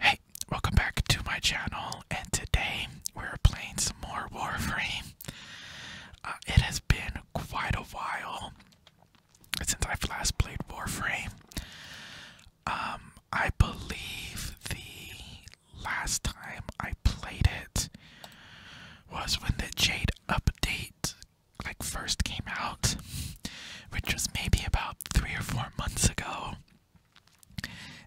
Hey, welcome back to my channel, and today we're playing some more Warframe. Uh, it has been quite a while since i last played Warframe. Um, I believe the last time I played it was when the Jade update like first came out, which was maybe about three or four months ago.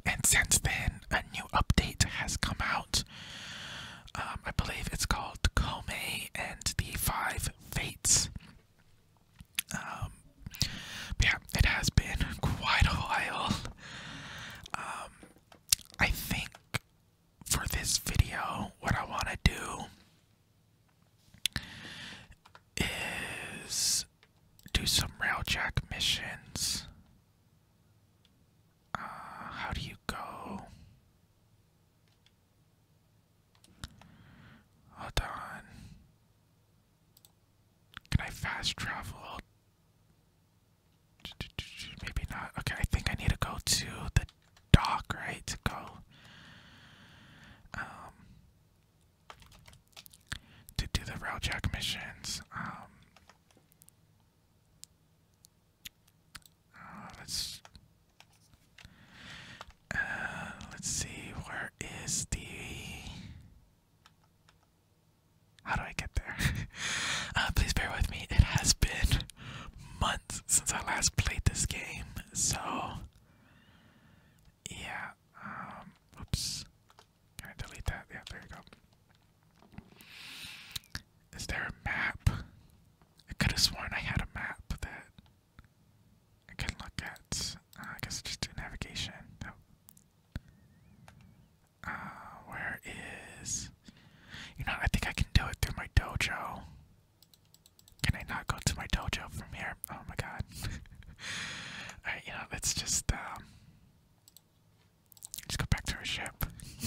And since then, a new update has come out. Um, I believe it's called Komei and the Five Fates. Um, yeah, it has been quite a while. Um, I think for this video, what I want to do is do some railjack missions. Uh, how do you go? Hold on. Can I fast travel? Maybe not. Okay, I think I need to go to the dock, right? To go. Um, to do the Railjack missions. Um, uh, let's uh, let's see. Where is the? How do I get there? Uh, please bear with me. It has been months since I last played this game, so yeah. Um, oops. Can I delete that? Yeah, there you go. Is there a map? I could have sworn I had a map that I can look at. Uh, I guess just do navigation. No. Uh, where is. You know, I think I can do it through my dojo. Can I not go to my dojo from here? Oh my god. Alright, you know, let's just um let's go back to our ship.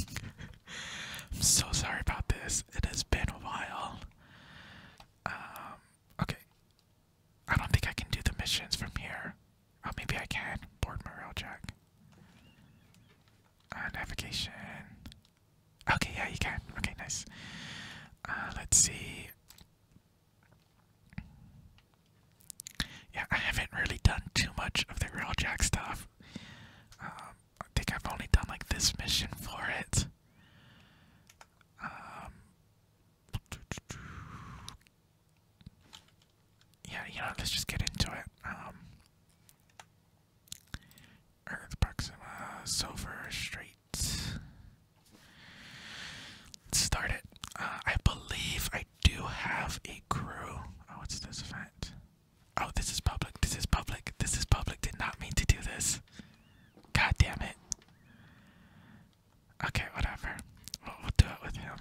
I'm so sorry about this. It has been a while. Um okay. I don't think I can do the missions from here. Oh maybe I can. Board my rail jack. Uh, navigation. Okay, yeah, you can. Okay, nice. Uh, let's see. Yeah, I haven't really done too much of the real Jack stuff. Um, I think I've only done like this mission for it. Um, yeah, you know, let's just get into it. Um, Silver Street start it. Uh, I believe I do have a crew. Oh, what's this event? Oh, this is public. This is public. This is public. Did not mean to do this. God damn it. Okay, whatever. We'll, we'll do it with him.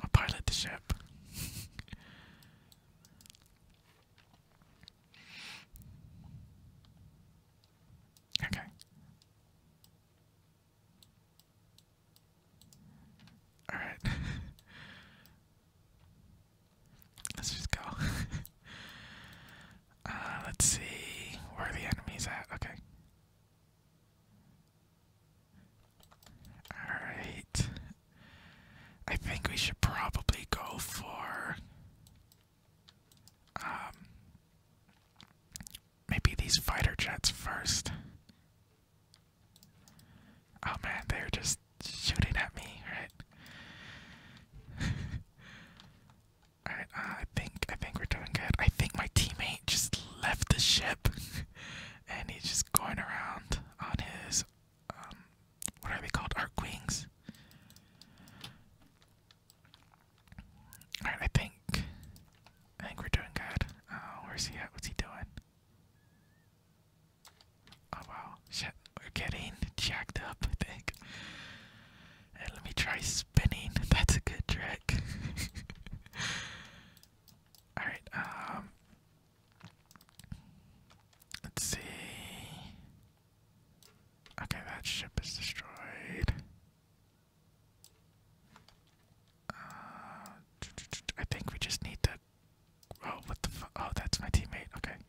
I'll pilot the ship. okay. Alright. let's just go. Uh, let's see where the enemy's at. Okay. Alright. I think we should probably go for um, maybe these fighter jets first. Oh man, they're just shooting at me, right? Alright, uh, I think I think we're doing good. I think my teammate just left the ship and he's just going around on his um what are they called? Arc wings. Alright, I think I think we're doing good. Oh, where's he at? What's he doing? Oh wow. Shit, we're getting jacked up, I think. And let me try spinning. That's a good trick. Alright, um Let's see. Okay, that ship is destroyed. Uh, I think we just need to. Oh, what the fu- Oh, that's my teammate. Okay.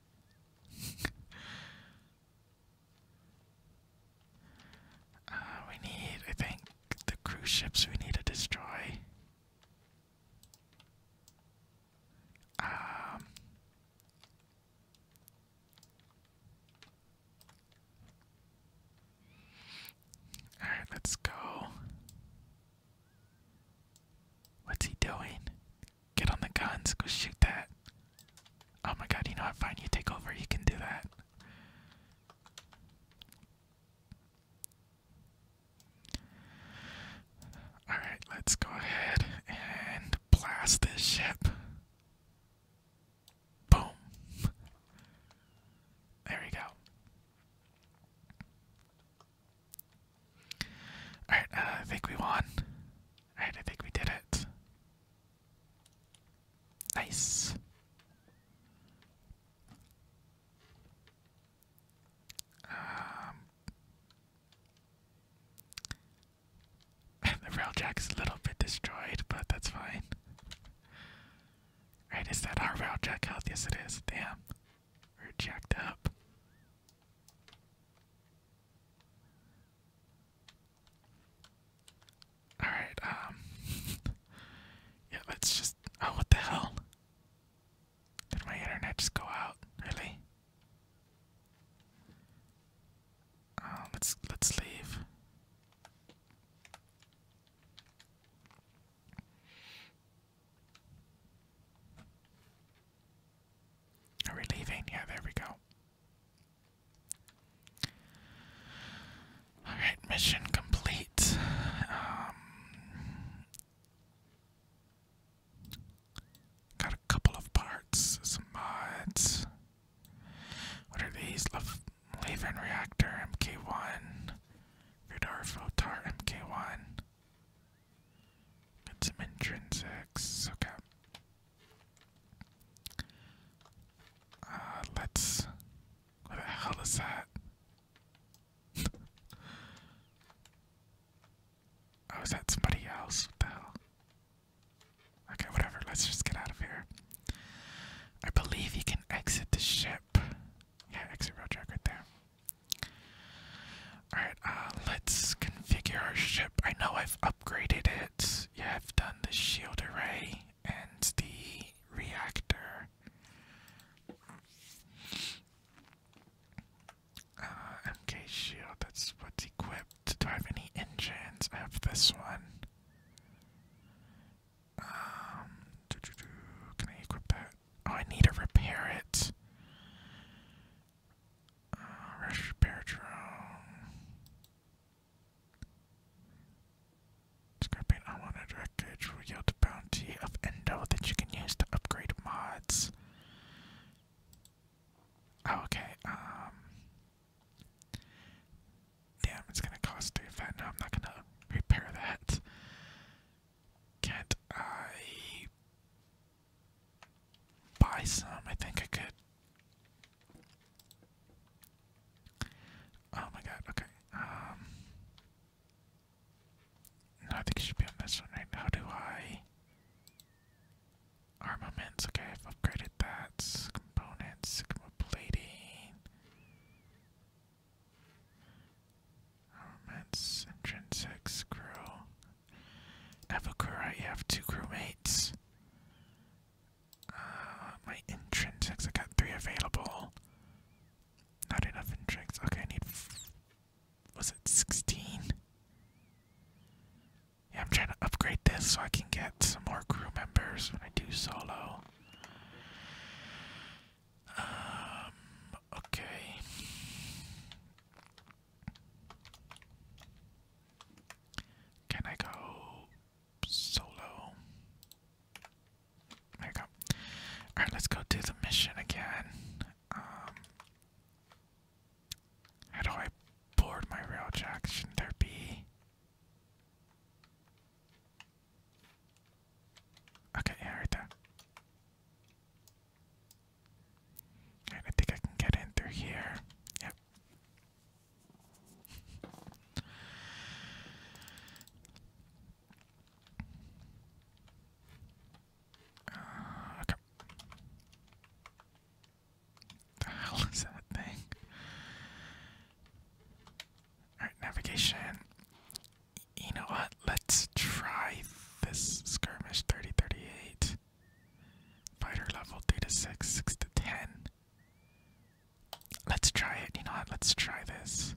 Uh, we need, I think, the cruise ships we need to destroy. Um. Alright, let's go. What's he doing? Get on the guns, go shoot that. Oh my god, you know what? Fine, you take over, you can do that. Alright, let's go ahead and blast this ship. Boom. There we go. Alright, uh, I think we won. Alright, I think we did it. Nice. Um, the railjack is a little bit destroyed, but that's fine. Right, is that our railjack health? Yes, it is. Damn. We're jacked up. Alright, um. yeah, let's just. Oh, what the hell? Did my internet just go out? Really? Uh, let's let's leave. Are we leaving? Yeah, there we go. Alright, mission complete. Um, got a couple of parts, some mods. What are these? Laven Reactor MK1. Vidar MK1. Got some intrinsics. Okay. Uh, let's. What the hell is that? oh, is that somebody else? What the hell? Okay, whatever. Let's just get out of here. I believe you can exit the ship. Yeah, exit road right there. Alright, uh, let's configure our ship. I know I've upgraded it. Yeah, I've done the shield array and the reactor. Uh, MK shield, that's what's equipped. Do I have any engines? I have this one. Um, can I equip that? Oh, I need to repair it. Uh, repair drone. Scrapping unwanted wreckage will yield a bounty of endo that you can use to upgrade mods. okay. Um, Damn, it's gonna cost three fat. No, I'm not gonna repair that. Can't I buy some? I think I could. Oh my god, okay. Um I think it should be on this one right now. do I Armaments, okay, I've upgraded that components, sigma plating, armaments, crew. I crew, right? have two crewmates. Uh, my intrinsics, I got three available. Not enough intrinsics. Okay, I need. Was it 16? Yeah, I'm trying to upgrade this so I can get some more crew members when I do solo. Um, okay. Can I go solo? There you go. Alright, let's go do the mission again. Um, how do I board my rail should there be Okay, yeah, right there. I think I can get in through here. Yep. Uh, okay the hell is that thing? Alright, navigation. You know what? Let's try this skirmish 3038. Fighter level 3 to 6, 6 to 10. Let's try it. You know what? Let's try this.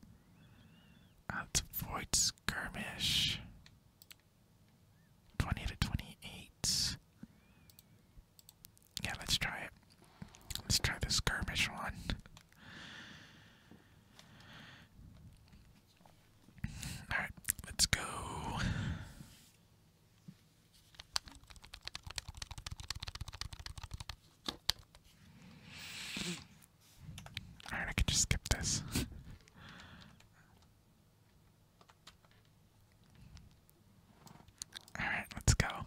Uh, let's avoid skirmish. 20 to 28. Yeah, let's try it. Let's try the skirmish one. Alright, let's go. Alright, I can just skip this. Alright, let's go. Alright,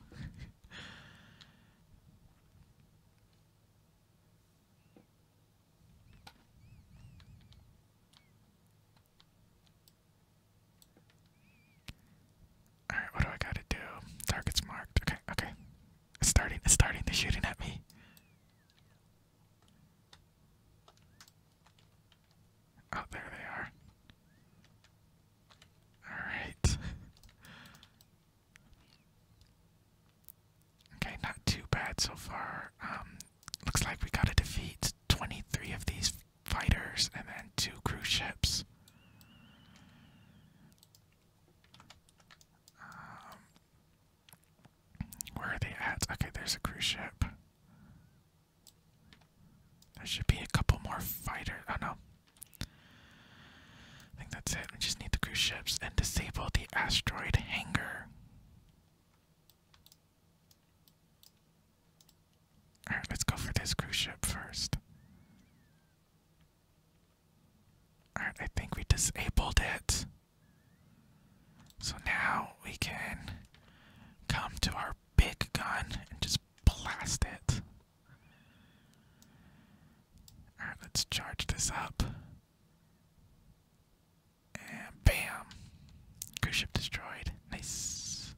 what do I gotta do? Target's marked. Okay, okay. It's starting, it's starting, they're shooting at me. Oh, there they are. Alright. okay, not too bad so far. Um, looks like we gotta defeat 23 of these fighters and then two cruise ships. Um, where are they at? Okay, there's a cruise ship. There should be a couple more fighters. Oh no, I think that's it. We just need the cruise ships and disable the asteroid hangar. Alright, let's go for this cruise ship first. Alright, I think we disabled it. So now we can come to our big gun and just blast it. Alright, let's charge this up. And bam! Cruise ship destroyed. Nice.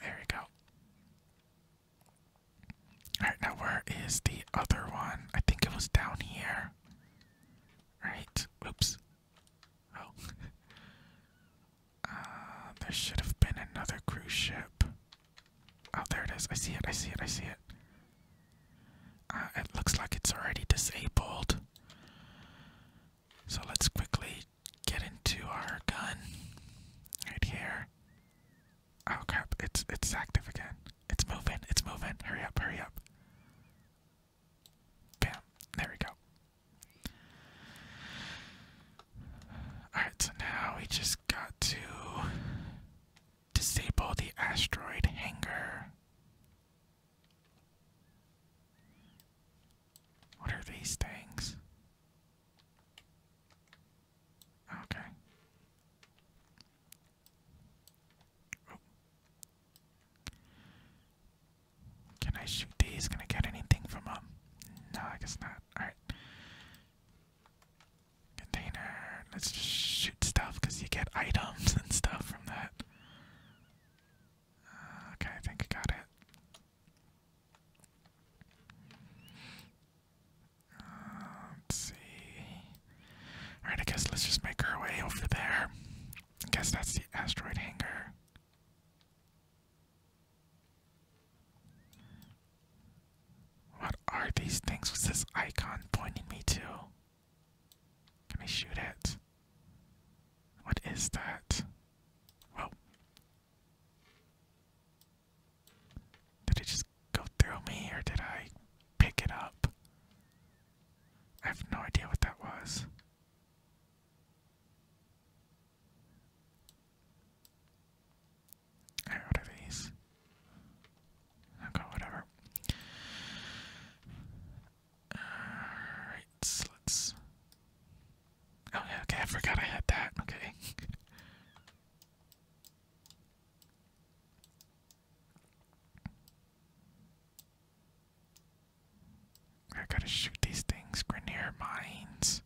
There we go. Alright, now where is the other one? I think it was down here. Right. Oops. Oh. Uh, there should have been another cruise ship. Oh, there it is. I see it. I see it. I see it. Uh, it looks like it's already disabled. So let's quickly get into our gun right here. Oh crap! It's it's active again. It's moving. It's moving. Hurry up! Hurry up! Bam! There we go. Alright, so now we just got to disable the asteroid hangar. What are these things? Okay. Can I shoot these? Can I get anything from them? No, I guess not. Alright. Container. Let's just shoot stuff because you get items and stuff from that. Uh, okay, I think I got it. Uh, let's see. Alright, I guess let's just make our way over there. I guess that's the asteroid hangar. What are these things? What's this icon pointing me to? Can I shoot it? What is that? Whoa. Did it just go through me or did I pick it up? I have no idea what that was. I order these. Okay, whatever. Alright, let's. Oh, yeah, okay, I forgot I had that. Okay. I gotta shoot these things. Grenier mines.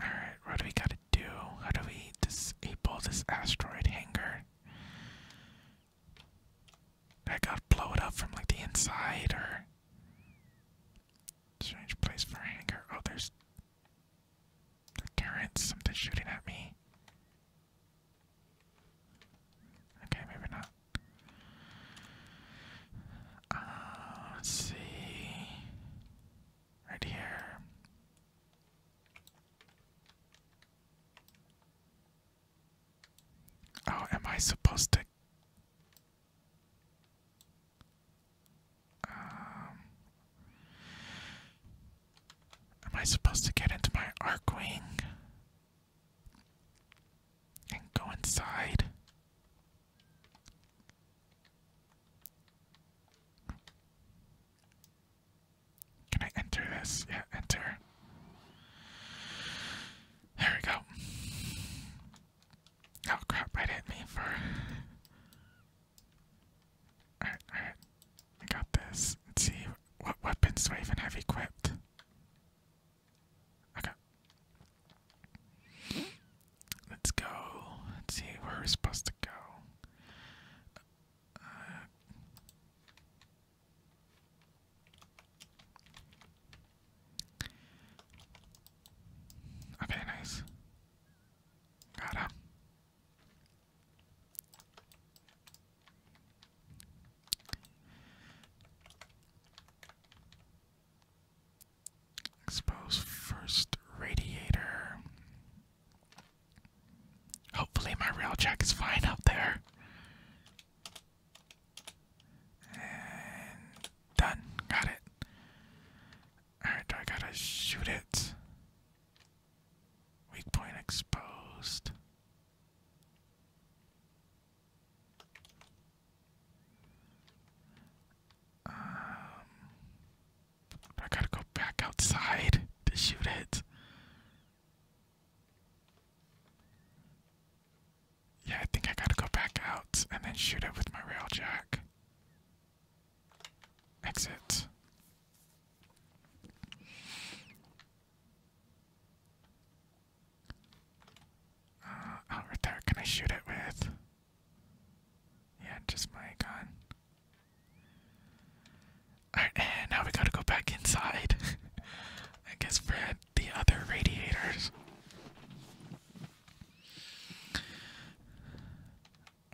Alright, what do we gotta do? How do we disable this asteroid hangar? I gotta up from like the inside or strange place for hangar. Oh there's Darn it, something's shooting at me. Okay, maybe not. Uh, see. Right here. Oh, am I supposed to? Am I supposed to get into my arc wing? And go inside? Can I enter this? Yeah, enter. There we go. Oh crap, right hit me for. I got this. Let's see what weapons do I have equipped. Okay. Let's go. Let's see where we're supposed to go. Uh, okay, nice. Got him. Expose first radiator. Hopefully, my railjack is fine up there. And done. Got it. Alright, do I gotta shoot it? Weak point exposed. Um, I gotta go back outside to shoot it. Yeah, I think I gotta go back out and then shoot it with my rail Exit. Uh, right there. Can I shoot it with? Yeah, just my gun. Alright, and now we gotta go back inside. I guess for the other radiators.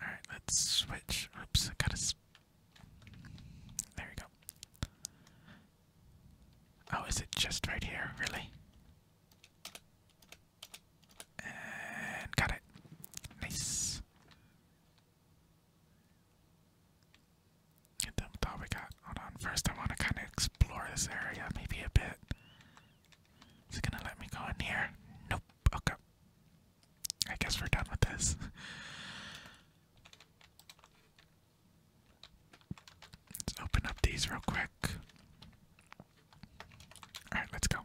Alright, let's switch. Oops, gotta there we go. Oh, is it just right here? Really? And got it. Nice. Get them all we got. Hold on. First, I want to kind of explore this area, maybe a bit. Is it gonna let me go in here? Nope. Okay. I guess we're done with this. Let's open up these real quick. Alright, let's go.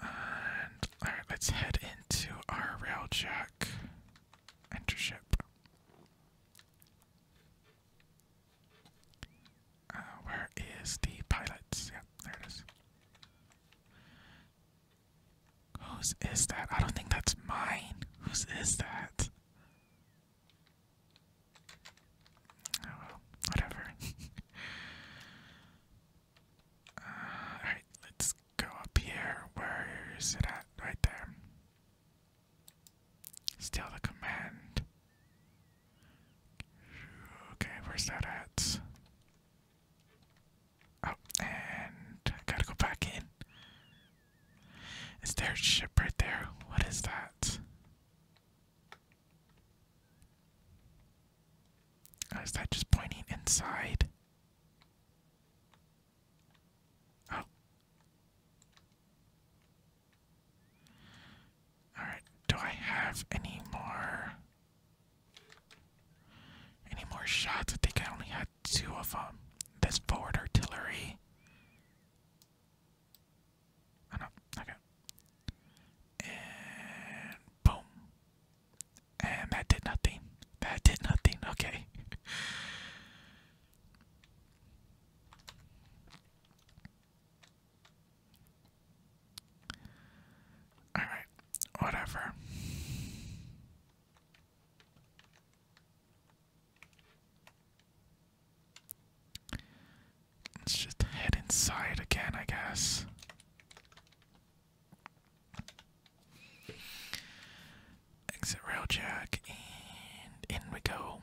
And alright, let's head into our rail check. Uh, where is the pilots? Yep, there it is. Whose is that? I don't think that's mine. Whose is that? Oh well, whatever. Uh, Alright, let's go up here. Where is it at? Right there. Steal the command. Okay, where's that at? Oh, and gotta go back in. Is there a ship right there? What is that? Oh, that just pointing inside? Oh. Alright, do I have any more any more shots? I think I only had two of them. This forward artillery. I do okay. And boom. And that did nothing. That did nothing. Okay. Alright, whatever. Let's just head inside again, I guess. Exit rail jack, and in we go.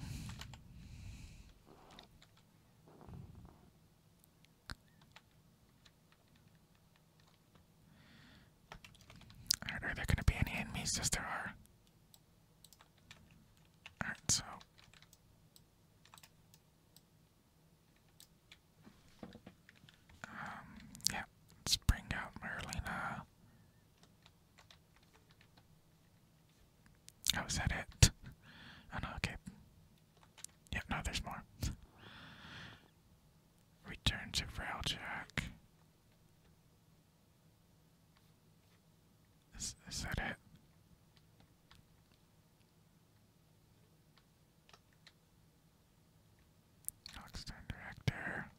Alright, are there gonna be any enemies? As there are. Alright, so. Um, yeah, let's bring out Merlina. Oh, that it? Oh no, okay. Yeah, no, there's more. Return to Railjack. Is, that it? Oxton Director.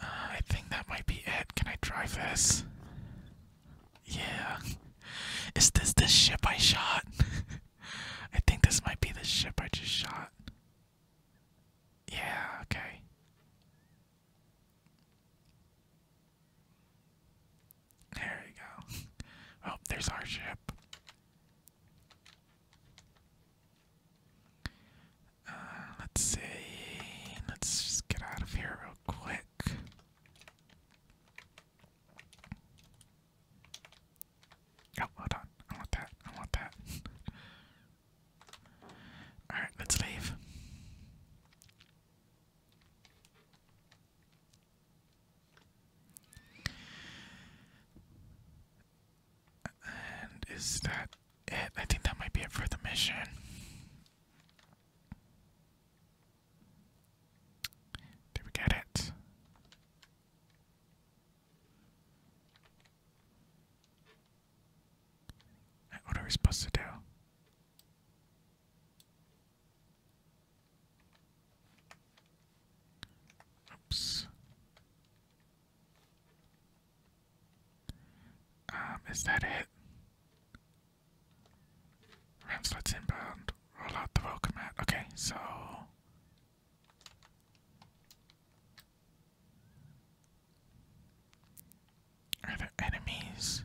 Uh, I think that might be it. Can I drive this? Yeah. Is this the ship I shot? I think this might be the ship I just shot. Yeah, okay. There we go. Oh, there's our ship. Uh, let's see. Let's just get out of here real quick. Oh, hold on. I want that. I want that. Alright, let's leave. And is that it? I think that might be it for the mission. Did we get it? Uh, what are we supposed to do? Oops. Um, is that it? Ramslots inbound. Roll out the welcome mat. Okay, so. Are there enemies?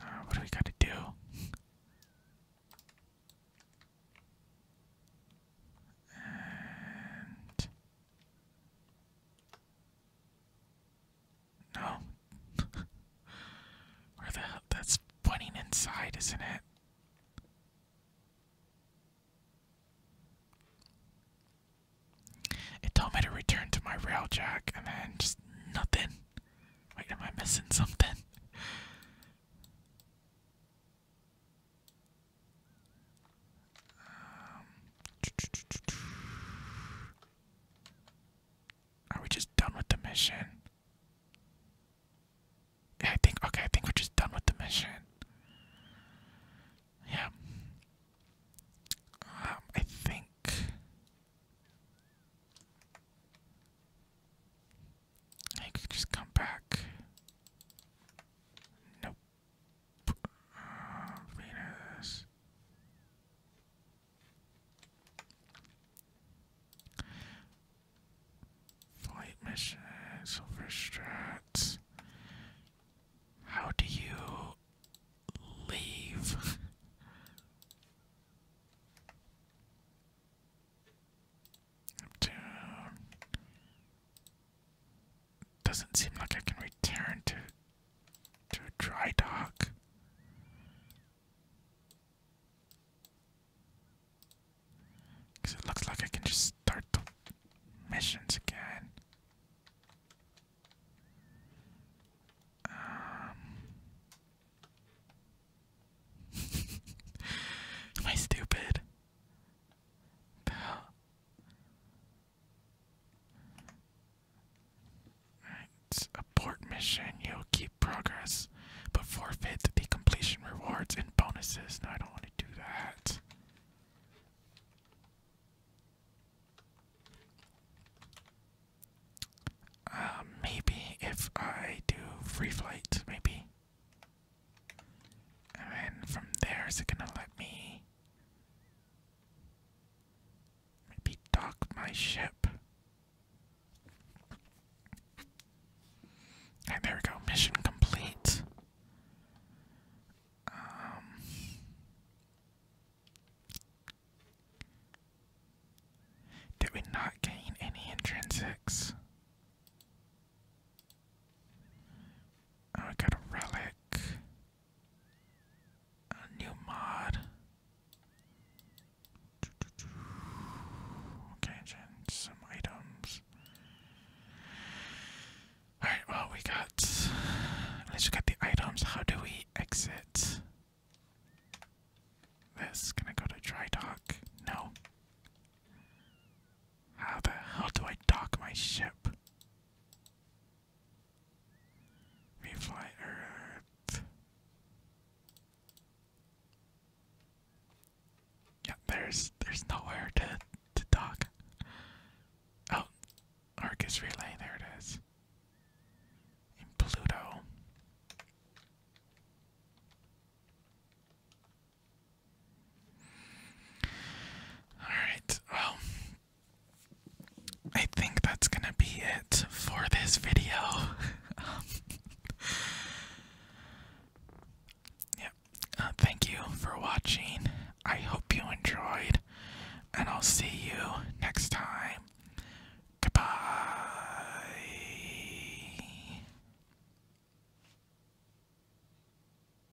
Uh, what do we gotta do? No. Where the hell? That's pointing inside, isn't it? It told me to return to my rail and then just nothing. Wait, am I missing something? are we just done with the mission? I think okay, I think we're just done with the mission. Yeah. Um, I think I could just come back. Nope. Venus. Flight mission, silver strats. How do you leave? Neptune. Doesn't seem like I can return to to dry dock. Cause it looks like I can just start the missions again. Um. am I stupid? The hell? Alright, abort mission. You'll keep progress, but forfeit the completion rewards and bonuses. I don't want to do that. Uh, maybe if I do free flight, maybe. And then from there, is it gonna let me maybe dock my ship? there we go, mission complete. Um, did we not gain any intrinsics? Oh, I got a relic. A new mod. Okay, and some items. Alright, well, we got. Let's look the items. How do we exit this? Can I go to dry dock? No. How the hell do I dock my ship? Refly Earth. Yeah, there's there's nowhere to to dock. Oh, Arcus Relay, there it is. In Pluto. Alright, well, I think that's gonna be it for this video. yeah, uh, thank you for watching. I hope you enjoyed, and I'll see you next time. Goodbye.